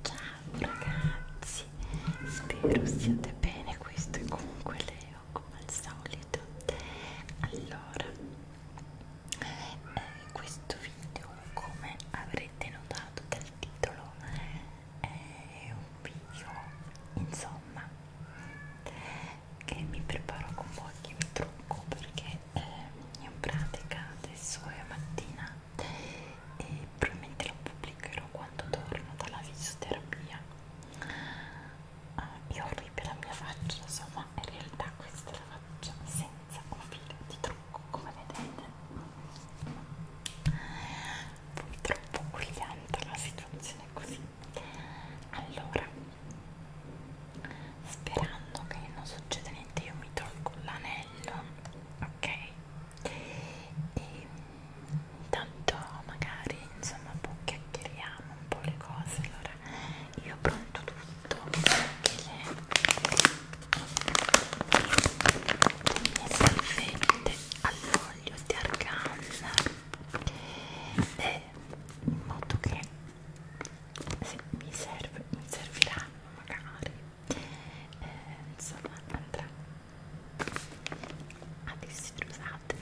Ciao ragazzi, spero siate bene, questo è comunque Leo come al solito. Allora, eh, questo video come avrete notato dal titolo è un video insomma che mi preparo con pochi trucco perché eh, in pratica adesso è mattina e probabilmente la pubblicherò quando torno dalla fisioterapia uh, ah, io orribile la mia faccia insomma in realtà questa è la faccia senza un filo di trucco come vedete purtroppo quiglianta la situazione è così allora Sperando che non succeda niente, io mi tolgo l'anello bello ok e intanto magari insomma un po' chiacchieriamo un po' le cose allora io ho pronto tutto anche le, le mie salvette all'olio di argan e in modo che se mi serve mi serviranno magari eh, insomma andrà a distrusate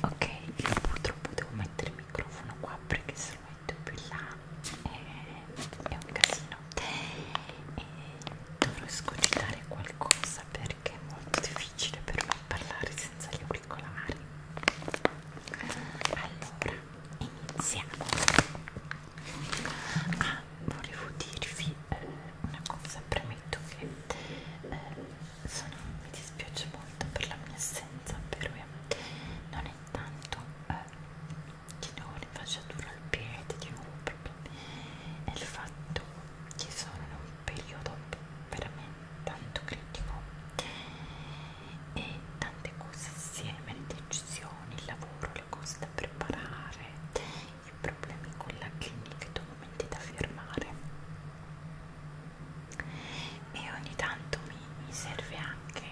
ok io purtroppo devo mettere il microfono qua perché se lo metto più in là è, eh, è un casino e dovrò escogitare qualcosa perché è molto difficile per me parlare senza gli auricolari allora iniziamo ah, volevo dirvi eh, una cosa premetto che eh, sono, mi dispiace molto per la mia assenza però eh, non è tanto eh, che non l'infacciatura al piede di un problema è il fatto che sono in un periodo veramente tanto critico e tante cose assieme, le decisioni, il lavoro, lo cose da preparare, i problemi con la clinica, i documenti da firmare e ogni tanto mi, mi serve anche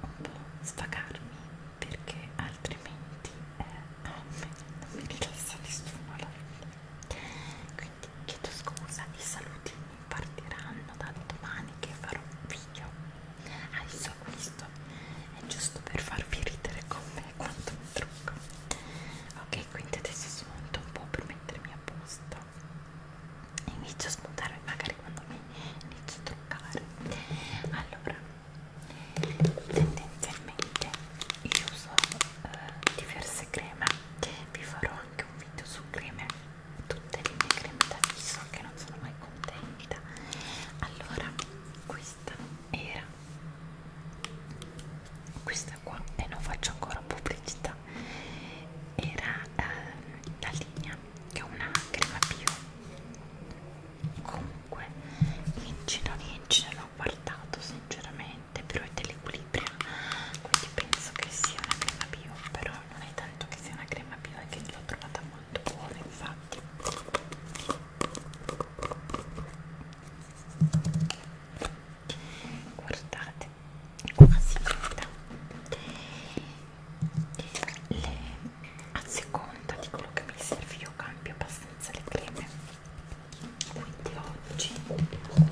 un po' svagarmi perché altrimenti eh, non, mi, non mi rilassa nessuno alla fine quindi chiedo scusa e saluti partiranno da domani che farò un video adesso questo è giusto per farvi ridere con me quanto mi trucco ok quindi adesso smonto un po' per mettermi a posto e inizio a smontarmi magari quando mi inizio a truccare allora tendenzialmente io uso eh, diverse creme vi farò anche un video su creme tutte le mie creme da viso che non sono mai contenta allora questa era questa qua e non faccio ancora pubblicità era ehm, la linea che è una crema bio comunque in giro in giro l'ho guardato sinceramente però è dell'equilibrio quindi penso che sia una crema bio però non è tanto che sia una crema viva che l'ho trovata molto buona infatti guardate quasi finita le, a seconda di quello che mi serve io cambio abbastanza le creme quindi oggi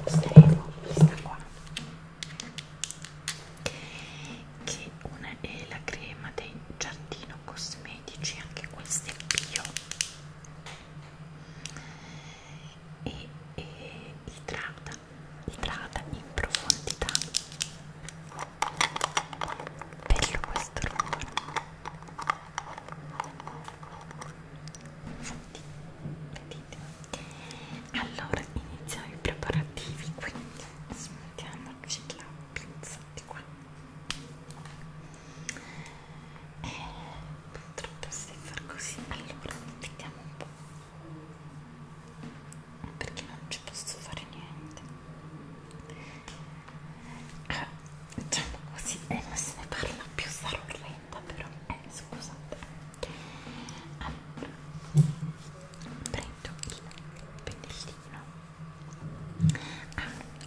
useremo questa qua che una è la crema del giardino cosmetici anche questa è bio e, e idrata idrata in profondità bello questo rumore Senti, vedete allora iniziamo i preparativi quindi smettiamoci la pizza di qua e purtroppo si fa così allora vediamo un po' perché non ci posso fare niente ah, diciamo così e eh, non se ne parla più sarò orrenda però eh, scusate allora prendo il pennellino ah,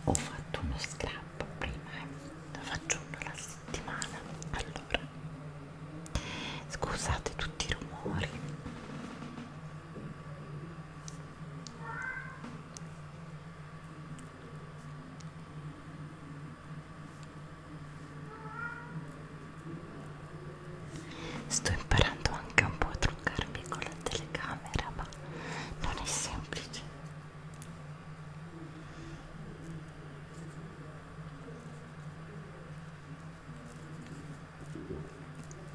ho fatto uno scrap prima eh. faccio uno alla settimana allora scusate tutti i rumori Sto imparando anche un po' a truccarmi con la telecamera, ma non è semplice.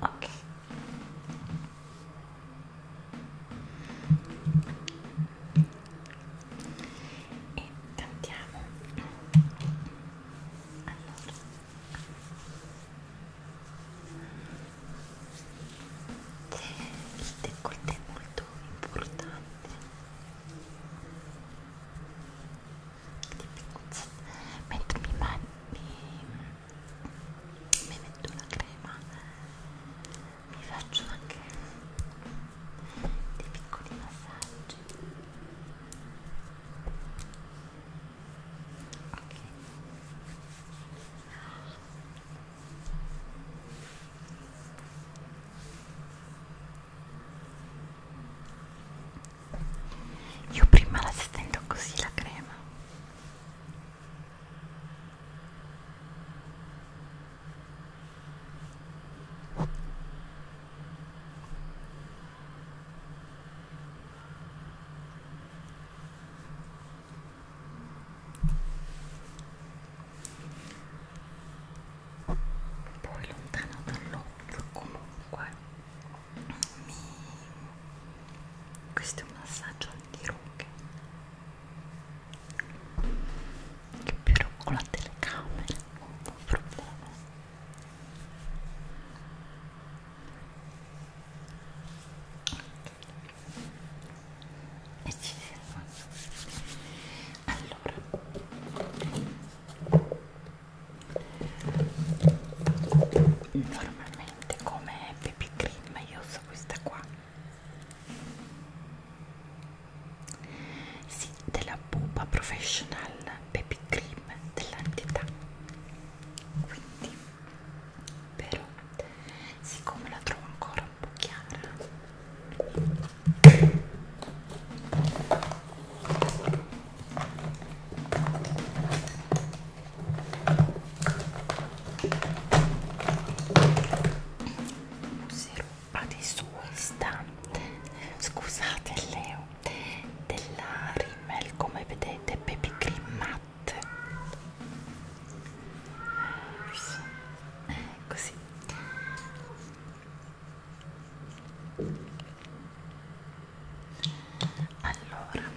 Ok. E cantiamo. Allora, il décolleté è molto importante. Mentre mi, mi, mi metto la crema, mi faccio anche dei piccoli massaggi Okay. Io prima la stendo così la crema poi lontano dall'occhio comunque mi... questo è un massaggio antirughe che però con la telecamera ho un problema e ci siamo allora normalmente come baby cream io uso questa qua si della Pupa Professional Baby Cream dell'entità quindi però siccome la trovo ancora un po' chiara userò adesso questa scusate Leo della Rimmel come vedete Baby Cream Matte eh, così allora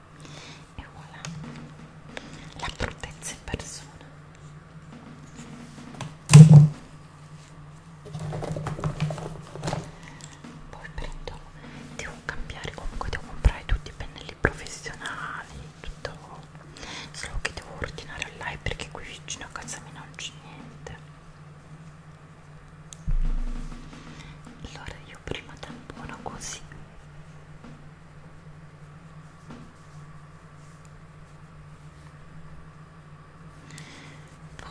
e voilà la prudenza in persona poi prendo devo cambiare comunque devo comprare tutti i pennelli professionali tutto solo che devo ordinare online perché qui vicino a casa mia non c'è niente allora io io prima tampono così poi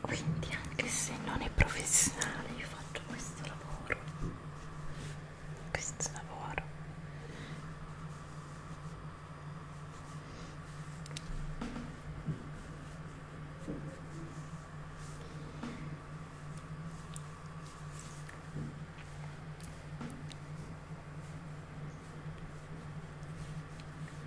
quindi anche se non è professionale io faccio questo lavoro questo lavoro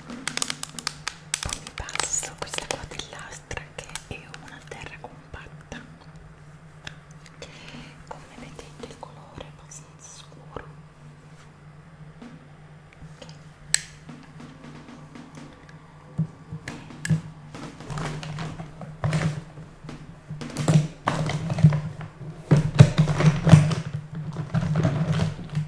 poi mi passo questa qua dell'astra che è una terra compatta come vedete il colore è abbastanza scuro okay.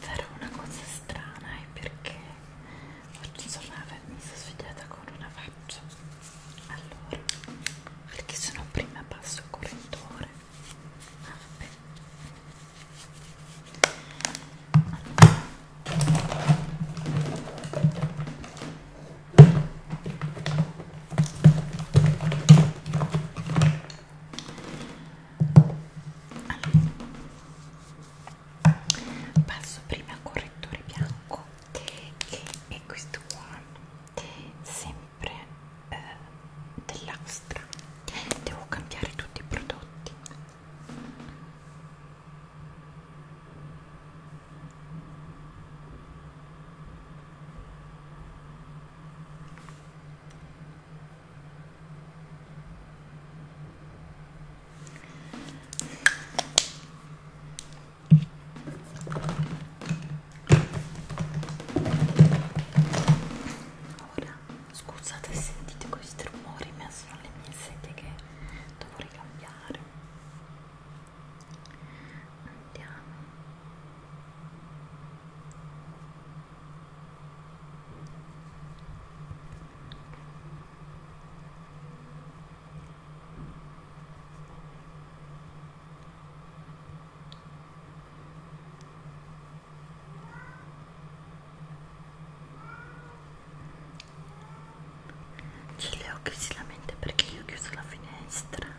farò una cosa strana è perché oggi insomma mi sono svegliata con una faccia allora perché sono prima passo il correttore ah, vabbè allora. Allora, passo prima al correttore bianco che è questo qua, sempre eh, dell'Astra. Devo cambiare tutti i prodotti. Ora, scusate se sentite questi rumori, ma sono le mie sedie che dovrei cambiare sentiamo c'è Leo che si lamenta perché io ho chiuso la finestra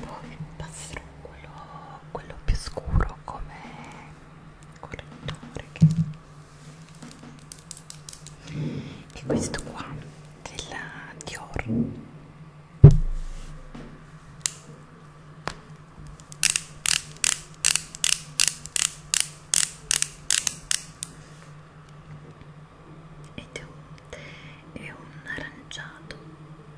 poi passerò quello, quello più scuro come correttore che... e questo qua della Dior ed è un aranciato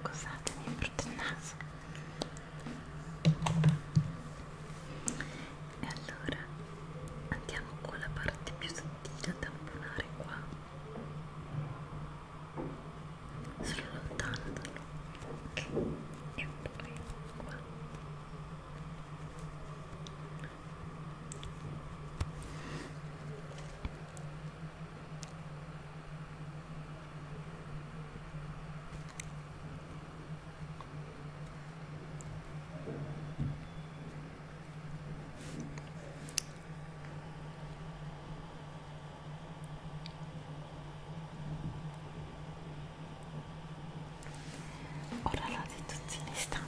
Scusate, mi brutto il naso. E allora andiamo con la parte più sottile a tamponare qua. Sono lontano dallo. E poi qua. Ora la situazione sta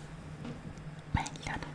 meglio, no?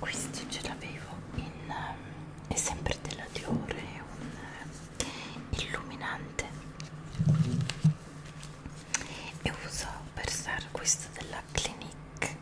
Questo ce l'avevo in ehm, è sempre della Diore, è un illuminante. E uso per usare questo della Clinique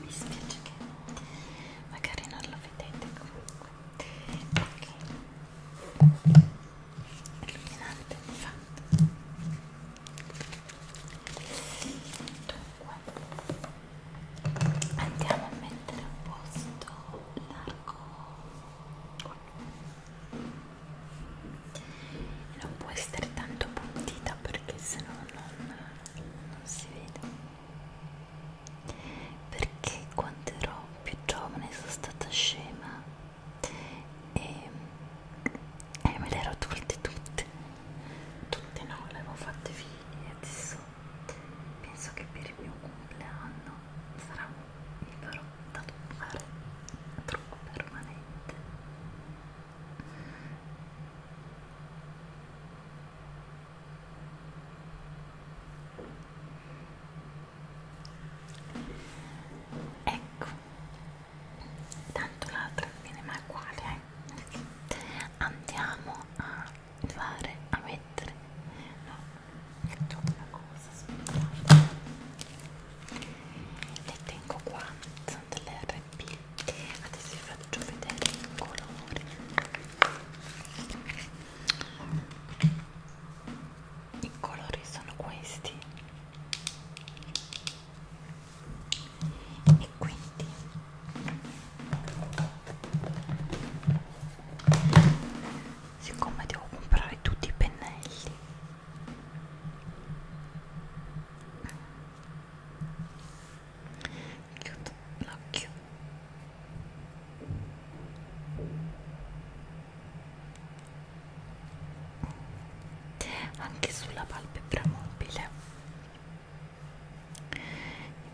mi spiace che magari non lo vedete comunque ok illuminante fatto dunque andiamo a mettere a posto l'arco e non può essere tanto puntita perché sennò non, non si vede perché quando ero più giovane sono stata scema e, e me le ero tolte tutte tutte no, le avevo fatte figli e adesso penso che per il mio compleanno sarà mi farò tatuare troppo permanente Ecco, tanto l'altra non viene mai uguale, eh? Andiamo a fare, a mettere, no, faccio una cosa, aspettate. Le tengo qua, sono delle R tempi adesso vi faccio vedere il colore i colori sono questi e quindi siccome devo comprare tutti i pennelli chiudo l'occhio anche sulla palpebra mobile e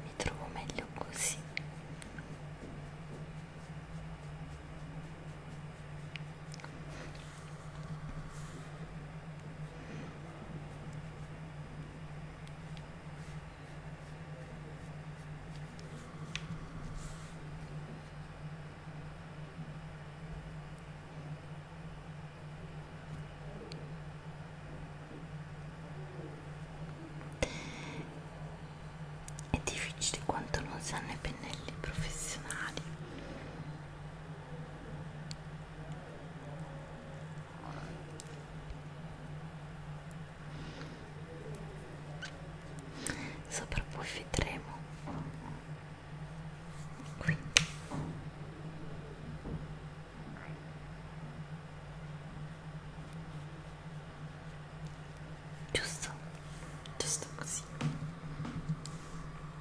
mi trovo meglio così è difficile quanto non sanno i pennelli professionali sopravvifteremo qui giusto giusto così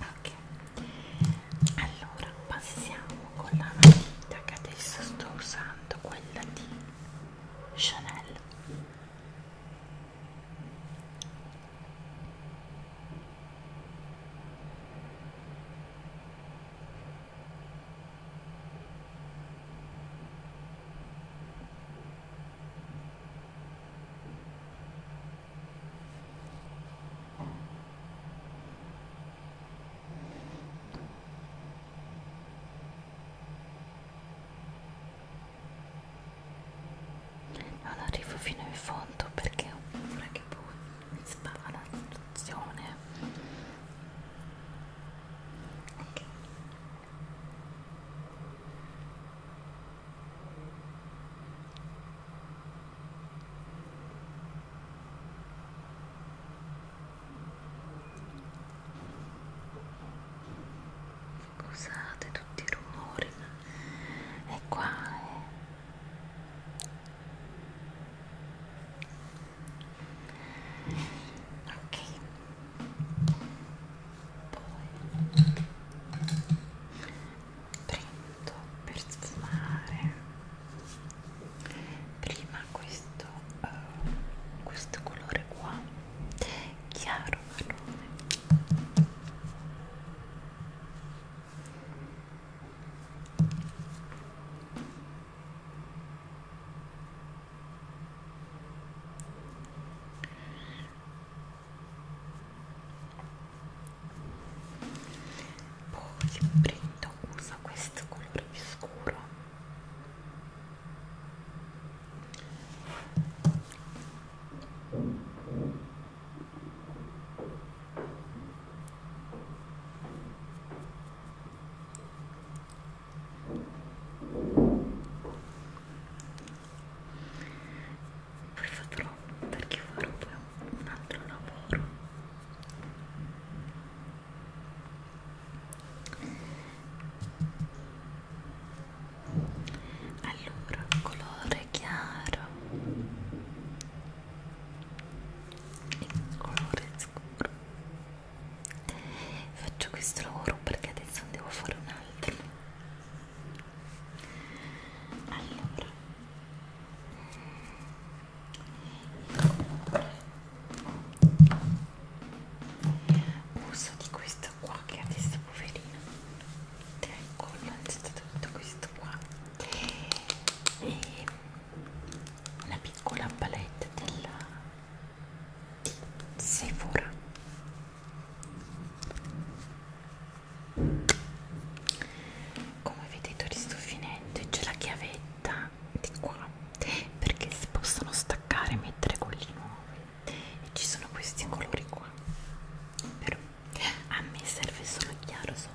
ok allora passiamo con la matita che adesso sto usando quella di Chanel ok non arrivo fino in fondo perché ho paura che poi mi spara la situazione ok Scusate tutti i rumori, ma è qua. È... Eh. Ok. Poi prendo per sfumare prima questo, uh, questo colore qua chiaro marrone poi prendo uso questo colore più scuro poi potrò perché farò poi un altro lavoro allora colore chiaro e colore scuro faccio questo lavoro perché adesso devo fare un altro allora uso di questo qua che adesso poverino con tutto questo qua e una piccola palette della di Sephora come vedete li sto finendo c'è la chiavetta di qua perché si possono staccare e mettere quelli nuovi e ci sono questi colori qua però a me serve solo il chiaro sopra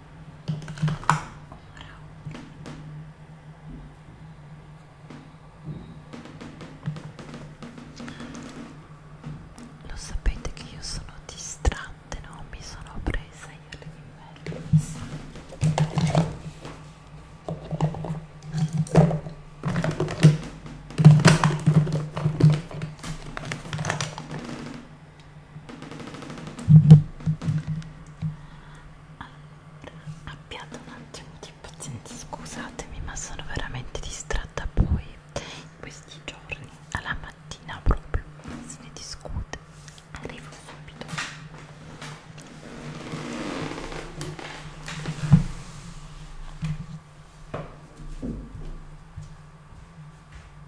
Lo sapete che io sono distratta, no? Mi sono presa io le mie allora, abbiate un attimo di pazienza, scusatemi, ma sono veramente distratta poi in questi giorni, alla mattina proprio, se ne discute, arrivo subito. Allora,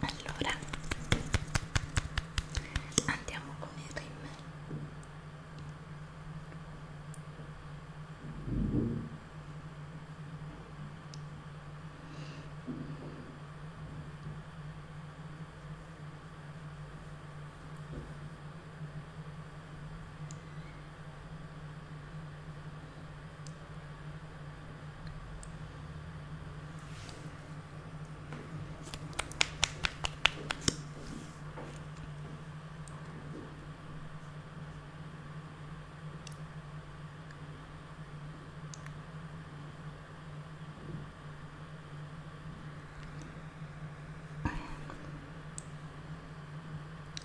allora andiamo con il rim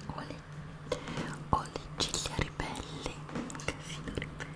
ho le, ho le ciglia ribelli, un casino ribelli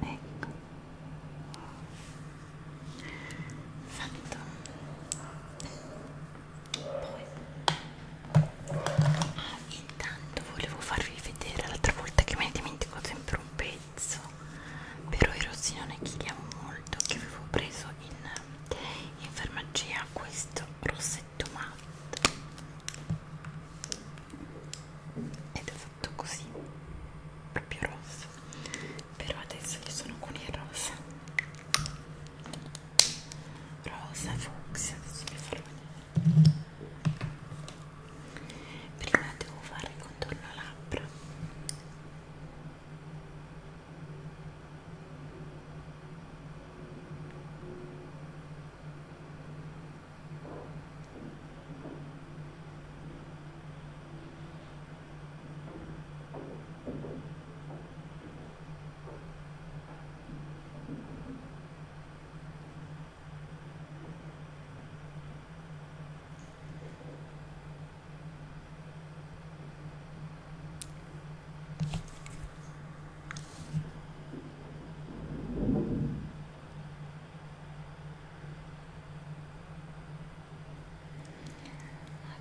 Ecco. Fatto. Poi ah, intanto volevo farvi vedere l'altra volta che me ne dimentico sempre un pezzo prezzo però i rossinone che amo molto che avevo preso in, in farmacia questo rossetto matte ed è fatto così proprio rosso però adesso io sono con il rosa rosa fucsia adesso vi farò vedere prima devo fare il contorno labbra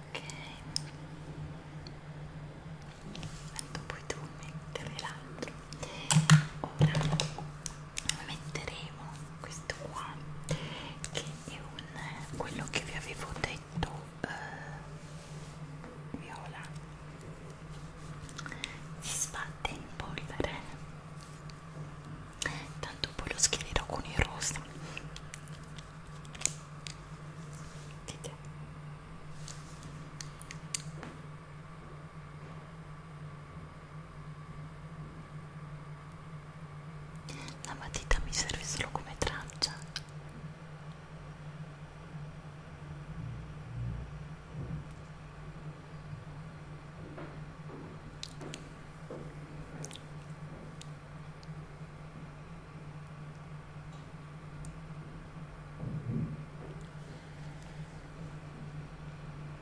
Ok, tanto poi tu mettere l'altro. Ora metteremo qui questo qua che è un, quello che vi avevo detto eh, viola si sbatte in polvere tanto poi lo schiererò con il rosa vedete la matita mi serve solo come traccia.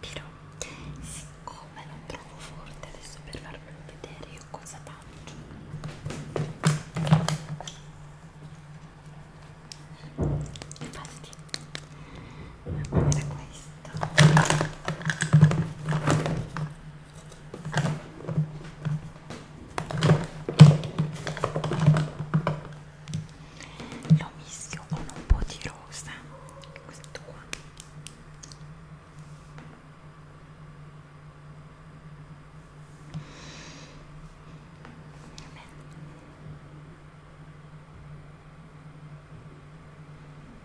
Però, siccome non trovo forte adesso per farvelo vedere, io cosa faccio? Infatti, Andiamo a vedere questo. Lo mischio con un po' di rosa, questo qua. Vabbè.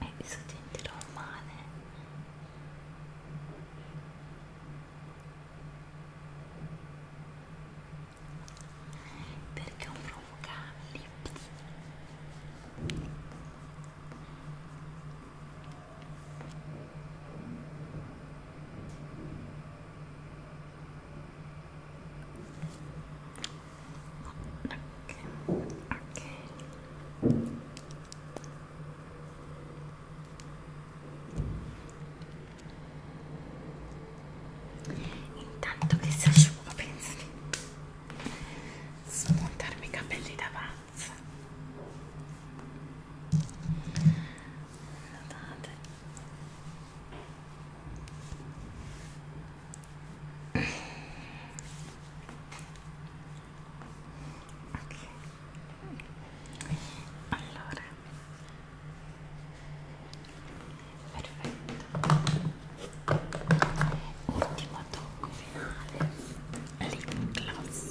e eh, i suoi denti romane perché un provocabili ok, ok intanto che si asciuga penso di smontarmi i capelli da pazza guardate okay. allora perfetto ultimo tocco finale lip gloss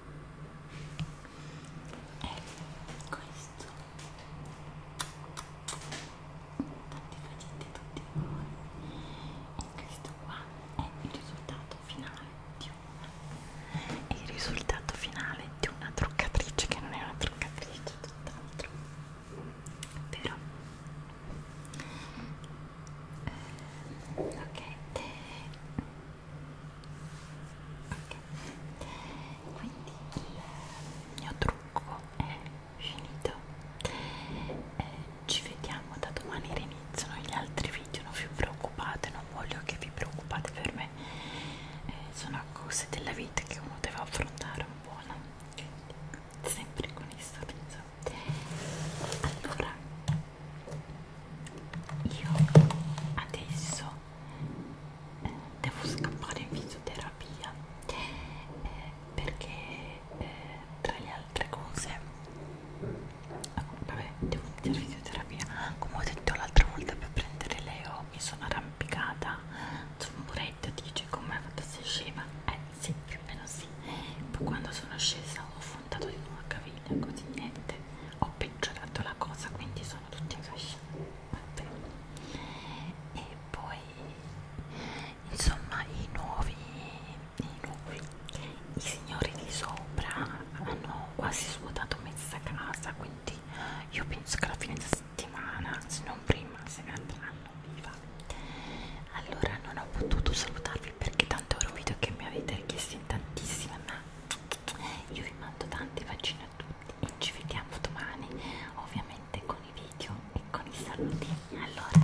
è questo tanti facete tutti voi e questo qua è il risultato finale di una è il risultato finale di una truccatrice che non è una truccatrice tutt'altro però eh, ok ok quindi il mio trucco è finito eh, ci vediamo da domani riniziano gli altri video non vi preoccupate non voglio che vi preoccupate per me eh, sono cose della vita che uno deve affrontare un po' no? sempre con questo penso allora io adesso eh, devo scappare in fisioterapia eh, perché eh, tra le altre cose ah, vabbè devo iniziare fisioterapia come ho detto l'altra volta per prendere Leo mi sono arrampicata su un muretto dice come è fatta se scema eh sì più o meno sì poi quando sono scesa ho affondato di una caviglia così niente ho peggiorato la cosa quindi sono tutti incasciati e poi insomma i nuovi i nuovi i signori di sopra hanno quasi svuotato mezza casa quindi io penso che alla fine della settimana se non prima se ne andranno viva allora non ho potuto salutarvi perché tanto ero video che mi avete richiesto in tantissime ma io vi mando tanti vaccini a tutti e ci vediamo domani ovviamente con i video e con i saluti allora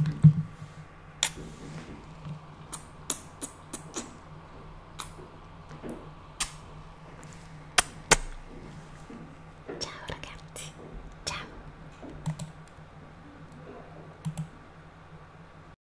ciao ragazzi ciao